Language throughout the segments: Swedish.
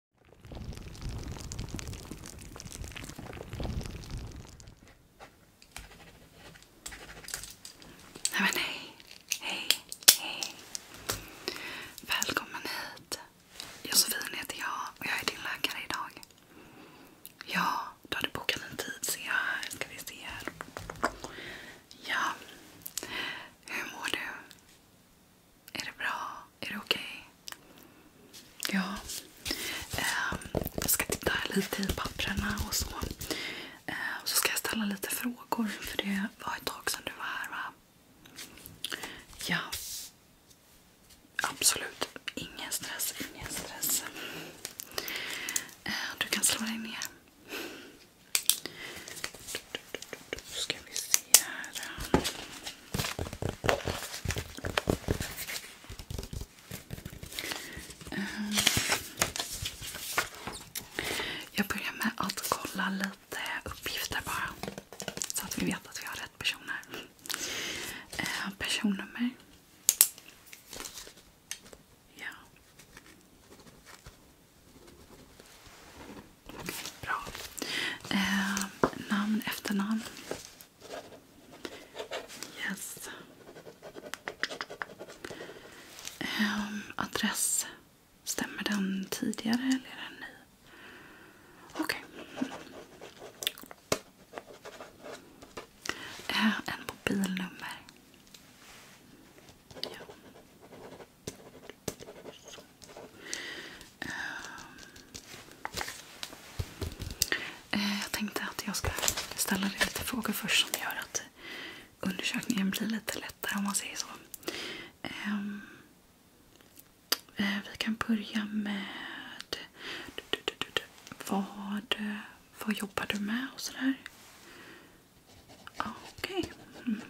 Nej men hej, hej, hej. Välkommen hit. Josefin heter jag och jag är din läkare idag. Ja, du hade bokat en tid ser jag här. Ska vi se här. Ja. Hur mår du? Är det bra? Är det okej? Okay? Ja. Um, jag ska titta lite i papperna och så. Och ehm, så ska jag ställa lite frågor för det var ett tag sedan du var här va? Ja. Absolut. Ingen stress, ingen stress. Uh, du kan slå dig ner ska vi se här. Eh, jag börjar med att kolla lite uppgifter bara. Så att vi vet att vi har rätt personer. Eh, personnummer. Okej, bra. Eh, namn, efternamn. Yes. Eh, adress. Stämmer den tidigare eller är den ny? Okej. Okay. Eh, en mobilnummer. Ja. Ehm, eh, jag tänkte att jag ska ställa dig lite frågor först som gör att undersökningen blir lite lättare om man säger så. Ehm, eh, vi kan börja med... vad, vad jobbar du med och sådär? Okej. Okay. Mm.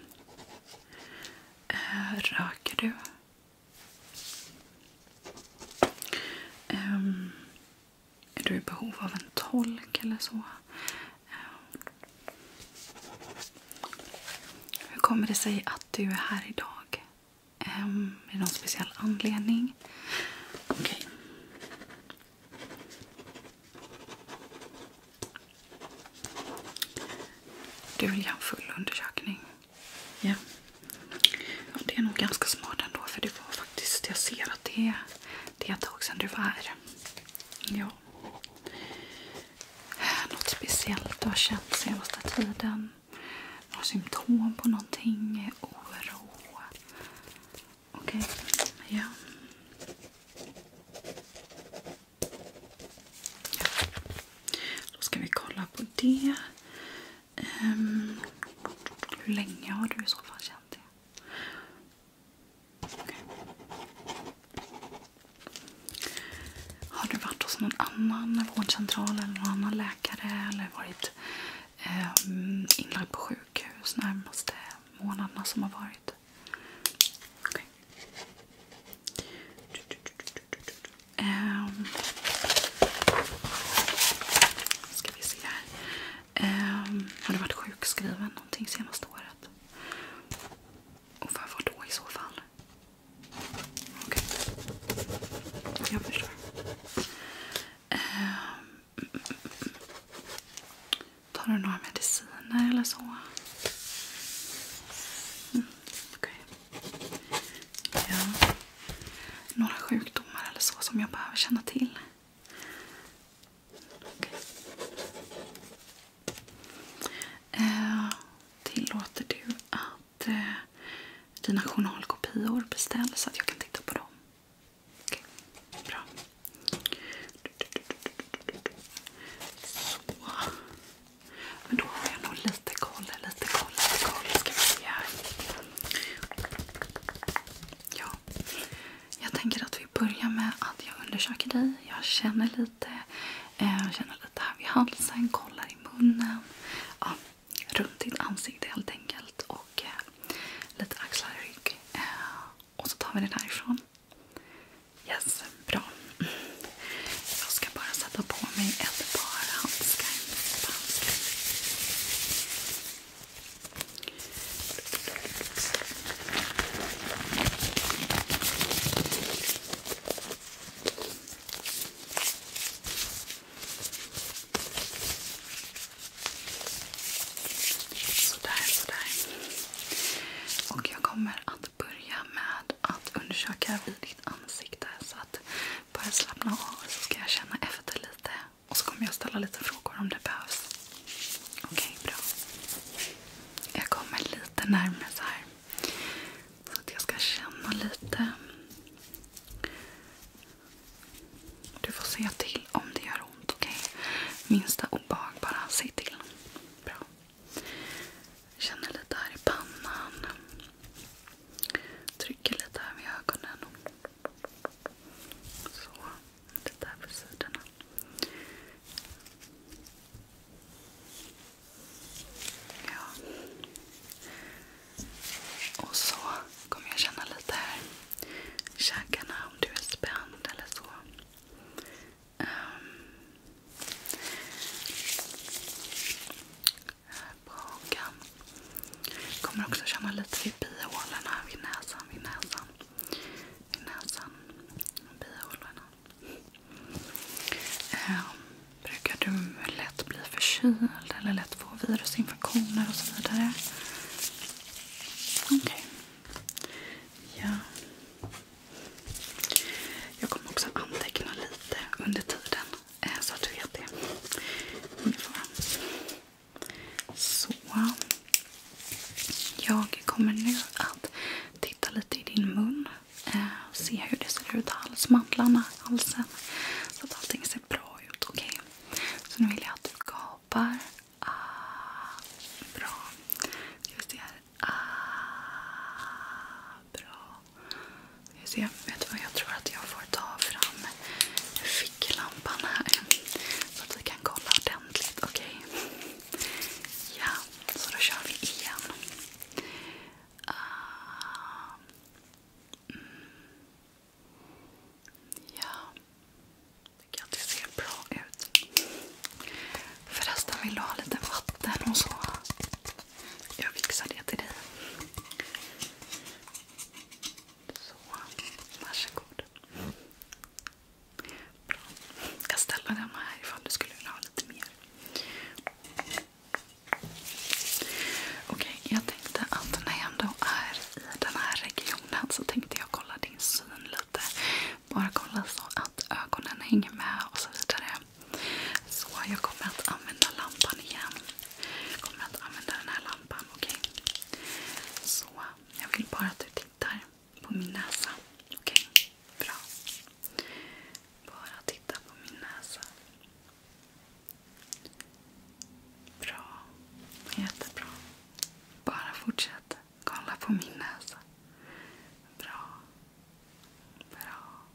Eh, röker du? Ehm, är du i behov av en tolk eller så? Ehm, hur kommer det sig att du är här idag? Ehm, är det någon speciell anledning? Okej. Du vill göra en full undersökning? Ja. ja. Det är nog ganska smart ändå för det var faktiskt, jag ser att det är, det är ett tag sedan du var här. Ja. Något speciellt du har känt senaste tiden? Några symptom på någonting? Oro? Okej. Okay. Ja. Då ska vi kolla på det. Um, hur länge har du i så fall känt det? Okay. Har du varit hos någon annan vårdcentral eller någon annan läkare eller varit um, inlagd på sjukhus närmaste månaderna som har varit? Okay. Um, ska vi se här. Um, har du varit sjukskriven någonting senaste året? Och för vad då i så fall? Okej. Okay. Jag förstår. Um, tar du några mediciner eller så? Mm, Okej. Okay. Ja. Några sjukdomar eller så som jag behöver känna till. Eh, tillåter du att eh, dina journalkopior beställs så att jag kan titta på dem? Okej, bra. Så. Men då har jag nog lite koll, lite koll, lite koll. Ska vi se här. Ja. Jag tänker att vi börjar med att jag undersöker dig. Jag känner lite, eh, känner lite här vid halsen, kollar i munnen. Ja, runt ditt ansikte helt enkelt. Och eh, lite axlar och rygg. Eh, och så tar vi det därifrån. Yes, bra. Jag ska bara sätta på mig ett par handskar. handskar. Sådär, sådär. Och jag kommer att börja med att undersöka vid ditt ansikte. Så att bara slappna av så ska jag känna efter lite. Och så kommer jag ställa lite frågor om det behövs. Okej, okay, bra. Jag kommer lite närmare så Så att jag ska känna lite. Du får se till om det gör ont, okej? Minsta obehag bara, säg till. Bra. Jag känner lite här i pannan. Trycker lite här med ögonen. Så. Lite här på sidorna. Ja. Och så kommer jag känna lite här i käkarna om du är spänd eller så på Kommer också känna lite vid bihålorna, vid näsan, vid näsan. bihålorna. Ehm, brukar du lätt bli förkyld eller lätt få virusinfektioner och så vidare? Okej. Okay. Ja. Jag kommer också anteckna lite under tiden eh, så att du vet det. Så. Jag kommer nu att titta lite i din mun. Eh, se hur det ser ut. Halsmandlarna, halsen. Så att allting ser bra ut. Okej. Så nu vill jag att du gapar. Ah, bra. Ska vi se här. Ah, bra. Jag ser, vet du vad? Jag tror att jag får ta fram ficklampan här. Så att vi kan kolla ordentligt. Okej? Ja, så då kör vi igen. Ah, mm. ja. tycker att det ser bra ut. Förresten, vill du ha lite vatten och så? Jag fixar det till dig. Så, varsågod. Jag ställer den här ifall du skulle vilja ha lite mer. Okej, jag tänkte att när jag ändå är i den här regionen så tänkte jag kolla din syn lite. Bara kolla så att ögonen hänger med och så vidare. Så jag kommer att använda lampan igen. Jag kommer att använda den här lampan, okej? Okay? Så jag vill bara att du tittar på min näsa. Okej? Bra. Bara titta på min näsa. Bra. Jättebra. Bara fortsätt kolla på min näsa. Bra. Bra.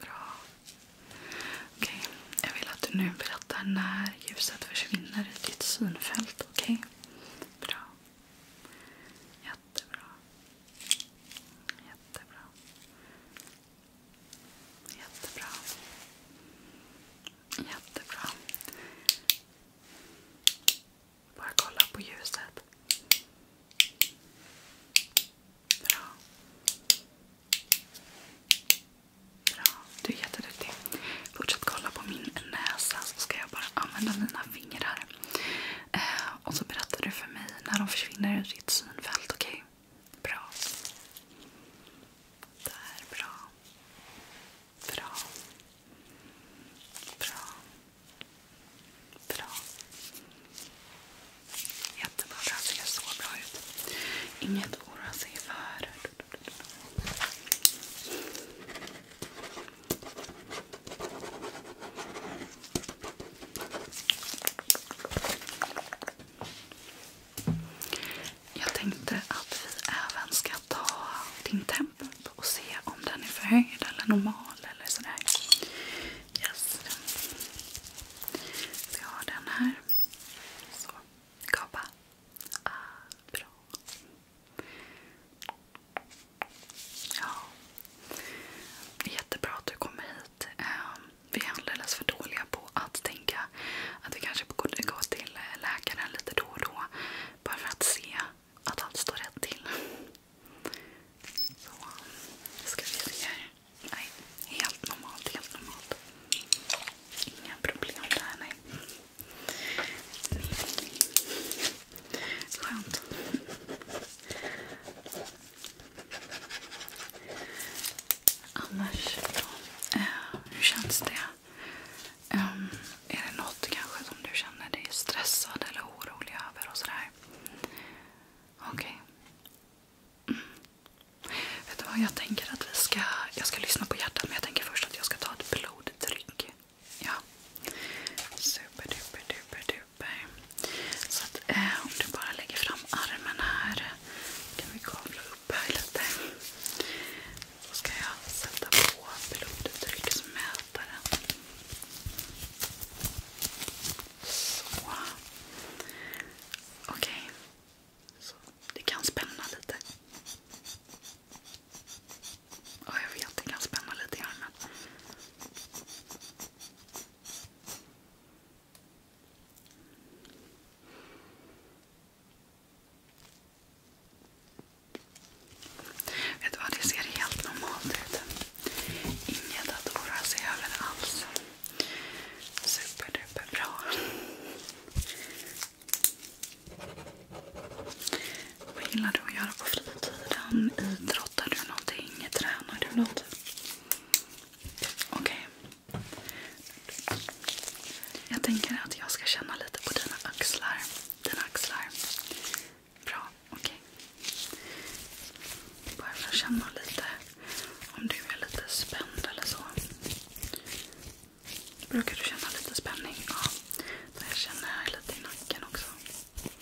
Bra. Okej, okay. jag vill att du nu berättar när ljuset försvinner i ditt synfält. Okej? Okay? Bra. Jättebra. Jättebra. Jättebra. Jättebra. Bara kolla på ljuset. Bra. Bra, du är jätteduktig. Fortsätt kolla på min näsa så ska jag bara använda mina fingrar. Eh, och så berättar du för mig när de försvinner ur ditt synfält, okej? Okay? Bra. Där, bra. Bra. Bra. Bra. Jättebra. Det här ser så bra ut. Inget att oroa sig för. Jag tänkte att vi även ska ta din temp makeup och se om den är förhöjd eller normal eller sådär. Yes. Så jag har den här. Så. Kapa. Ah, bra. Ja. Jättebra att du kommer hit. Ehm, vi är alldeles för dåliga på att tänka att vi kanske borde gå till läkaren lite då och då. Bara för att se att allt står rätt till. Så, ska vi se här. Nej, helt normalt, Inga problem där, nej. Skönt. Annars då? Eh, hur känns det? Ehm, är det något kanske som du känner dig stressad eller orolig över? och sådär? Okej. Okay. Mm. Vet du vad, jag tänker att vi ska... Jag ska lyssna på hjärtat men jag tänker först att jag ska ta ett blodtryck. Ja. Super duper duper duper. Så att eh, om du bara lägger fram armen här. Kan vi kavla upp här lite. Då ska jag sätta på blodtrycksmätaren. Så. Okej. Okay. Så det kan spänna lite. Ja, jag vet. Det kan spänna lite i armen. Vet du vad, det ser helt normalt ut. Inget att oroa sig över alls. Superduper Vad gillar du att göra på fritiden? Idrottar du någonting? Tränar du något? Okej. Jag tänker att jag ska känna lite på dina axlar. Dina axlar. Bra, okej. Okay. Bara för att känna lite om du är lite spänd eller så. Brukar du känna lite spänning? Ja, jag känner här lite i nacken också. Mm.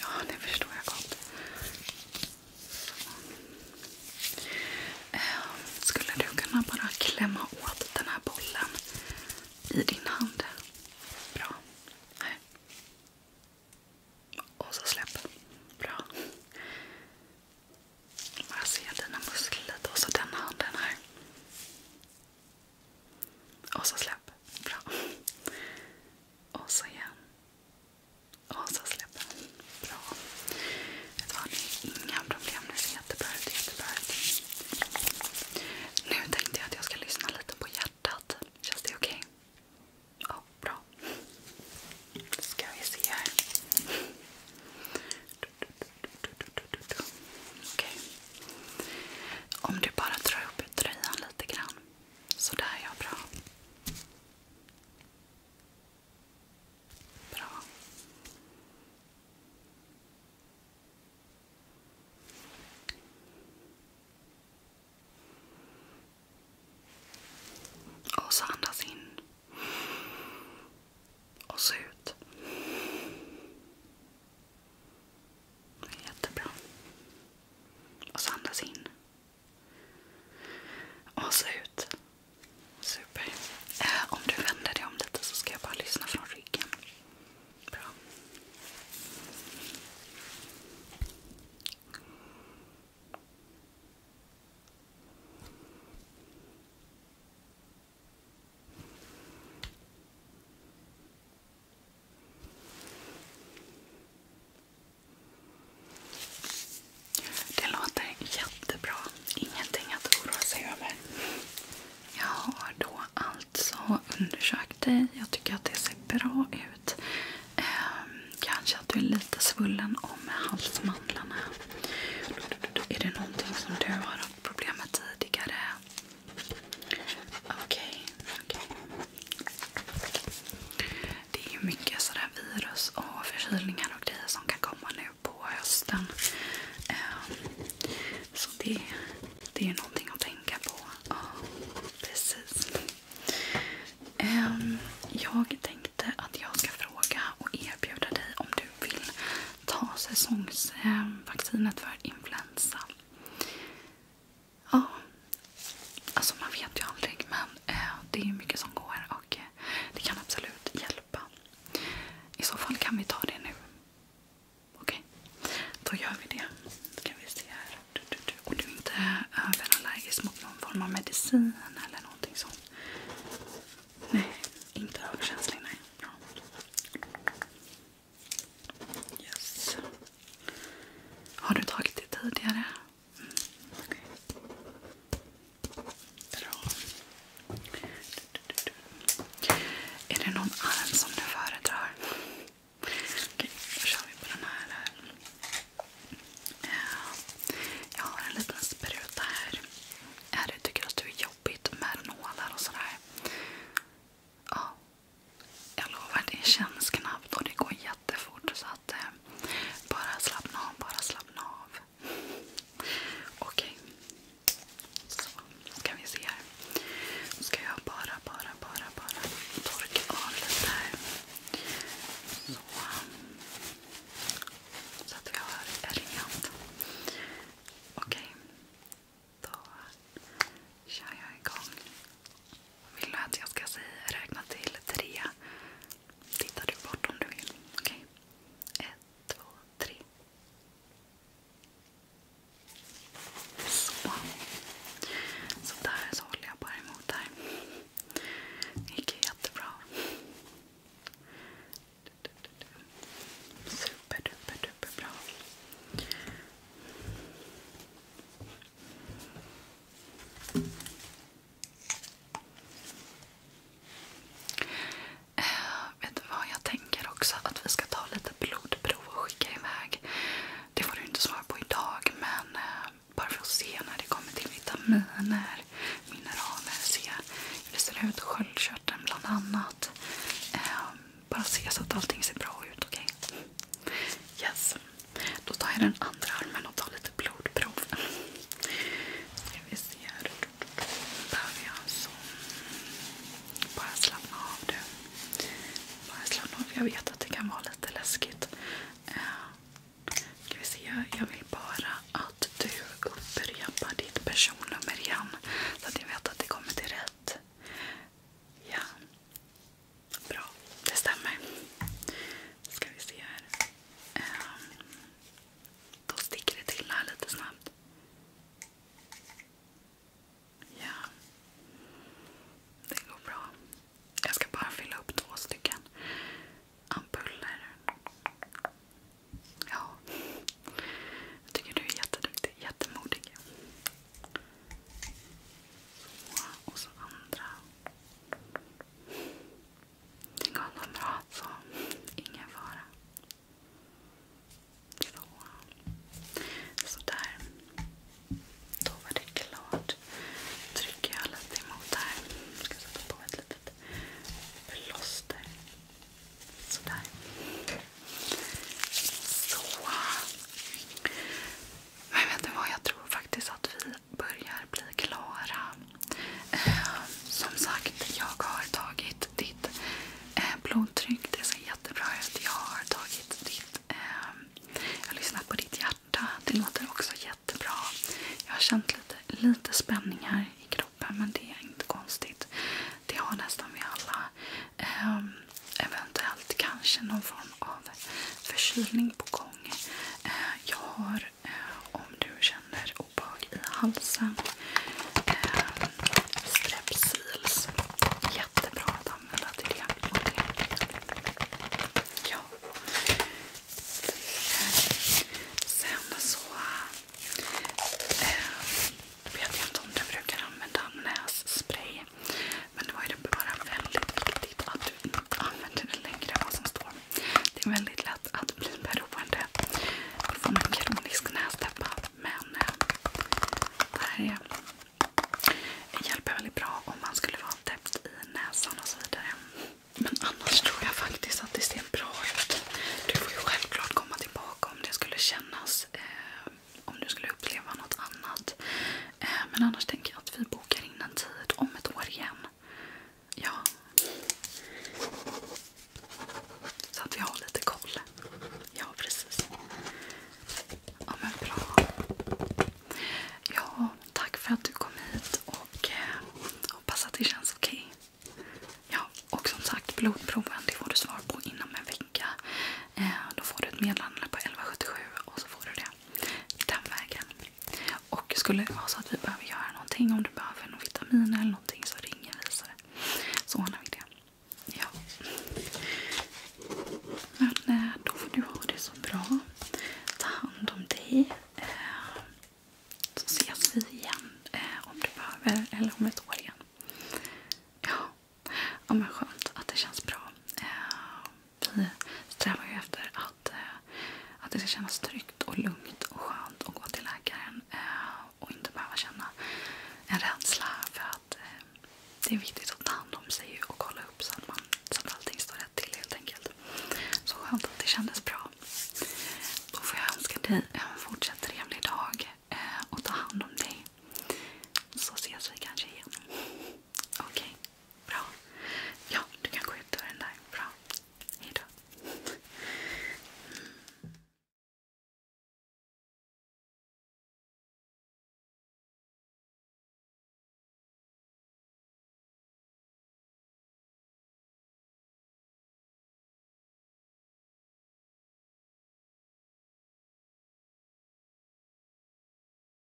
Ja, det förstår jag gott. Eh, skulle du kunna bara klämma åt den här bollen i din hand? Bra. Här. Och så släpp. Bra. Bara se dina muskler lite och så den handen här. Och så släpp. Bra. Och så igen. Och så släpper den. Bra. Det har ni inga problem. Nu ser jättebra ut. Jättebra ut. Nu tänkte jag att jag ska lyssna lite på hjärtat. Känns det okej? Okay? Ja, bra. Ska vi se här. Okej. Okay. Om du bara drar upp tröjan lite grann. Sådär ja, bra. Bra. Och så andas in. Och så ut. Jättebra. Och så andas in. Och så ut. Super. Eh, om du vänder dig om lite så ska jag bara lyssna från ryggen. Bra. Det låter jättebra. Ingenting att oroa sig över. Jag har då alltså undersökt dig. Jag tycker att det ser bra ut. Ehm, kanske att du är lite svullen om halsmandlarna. Är det någonting som du har haft problem med tidigare? Okej. okay. Det är mycket sådär virus och förkylningar och grejer som kan komma nu på hösten. Ehm, så det, det är ju någonting att tänka på. Ja, precis. Ehm, jag tänkte att jag ska fråga och erbjuda dig om du vill ta säsongsvaccinet för influensa. Ja. Alltså man vet ju aldrig men eh, det är ju mycket som går och eh, det kan absolut hjälpa. I så fall kan vi ta det nu. Okej, okay. då gör vi det. Då kan vi se här. Du, du, du. Och du är inte överallergisk mot någon form av medicin eller någonting sånt? Nej, inte överkänslig nej. Yes. Har du tagit det tidigare? Okej. Bra. Är det någon arm som du föredrar? då kör vi på den här. Jag har en liten spruta här. Är det, jobbigt med nålar och sådär? Ja. Jag lovar, det känns knappt och det går jättefort. Så att eh, bara slappna av, bara slappna av. Okej. Okay. Så, ska vi se här. Nu ska jag bara, bara, bara, bara torka av lite här. Så. Så att vi har rent. Okej. Okay. Då kör jag igång vill du att jag ska säga, räkna till tre? Tittar du bort om du vill. Okej. Okay. Ett, två, tre. Så. Så där så håller jag bara emot här. Det gick jättebra. Super, duper, duper bra. Eh, vet du vad? Jag tänker också att vi ska ta lite blodprov och skicka iväg. Det får du inte svara på idag men eh, bara för att se när det kommer till vitaminer, mineraler, se hur det ser ut, sköldkörteln bland annat. Eh, bara se så att allting ser bra ut, okej? Okay? Yes. Då tar jag den andra armen och tar lite blodprov. Ska vi se här. Behöver jag så. Alltså. Bara slappna av du. Bara slappna av. Jag vet att det kan vara lite läskigt. Eh, ska vi se. Jag vill bara att du upprepar ditt personnummer igen. Så att jag vet att det kommer till rätt. Ja. Bra, det stämmer. Ska vi se här. Um, då sticker det till här lite snabbt. Ja. Det går bra. Jag ska bara fylla upp två stycken ampuller. Ja. Jag tycker du är jätteduktig. Jättemodig. Så, och så andra. Det går nog bra, så ingen fara. Så. Sådär. Då var det klart. trycker jag lite emot här. ska sätta på ett litet plåster. Sådär. Så. Men vet du vad? Jag tror faktiskt att vi börjar bli klara. Eh, som sagt, jag har tagit ditt eh, blodtryck. Det ser jättebra ut. Jag har tagit ditt... Eh, jag har lyssnat på ditt hjärta. Det låter också jättebra. Jag har känt lite, lite spänningar i kroppen, men det är inte konstigt. Det har nästan vi alla. eventuellt kanske någon form form av förkylning på gång. Eh, jag har, eh, om du känner obehag i halsen, eh, strepsils. Jättebra att använda till det. Ja. Sen så äh, vet jag inte om du brukar använda nässpray. Men då är det bara väldigt viktigt att du använder det längre än vad som står. Det är väldigt lätt att bli beroende. Då får man kronisk nästäppa. Men eh, det här är, hjälper väldigt bra om man skulle vara täppt i näsan och så vidare. Men annars tror jag faktiskt att det ser bra ut. Du får ju självklart komma tillbaka om det skulle kännas. Eh, om du skulle uppleva något annat. Eh, men annars tänker jag att vi bokar in en tid om ett år igen. Ja. Så att vi har lite koll. Ja, precis. Ja, men bra. Ja, tack för att du kom hit och eh, hoppas att det känns okej. Okay. Ja, och som sagt, blodproven det får du svar på inom en vecka. Eh, då får du ett meddelande på 1177 och så får du det. Den vägen. Och skulle det vara så att vi behöver göra någonting, om du behöver någon vitamin eller någonting så ringer vi så ordnar vi det. Ja. Men eh, då får du ha det så bra. Ta hand om dig. Eh, så ses vi igen eh, om du behöver eller om ett år igen. Ja, ja men skönt att det känns bra. Vi strävar ju efter att, eh, att det ska kännas tryggt och lugnt och skönt att gå till läkaren. Eh, och inte behöva känna en rädsla för att eh, det är viktigt att ta hand om sig och kolla upp så att, man, så att allting står rätt till helt enkelt. Så skönt att det kändes bra. Då får jag önska dig en fortsatt trevlig dag och ta hand om dig. Så ses vi kanske igen. Okej. Okay. Bra. Ja, du kan gå ut och den där. Bra. Hejdå. Mm.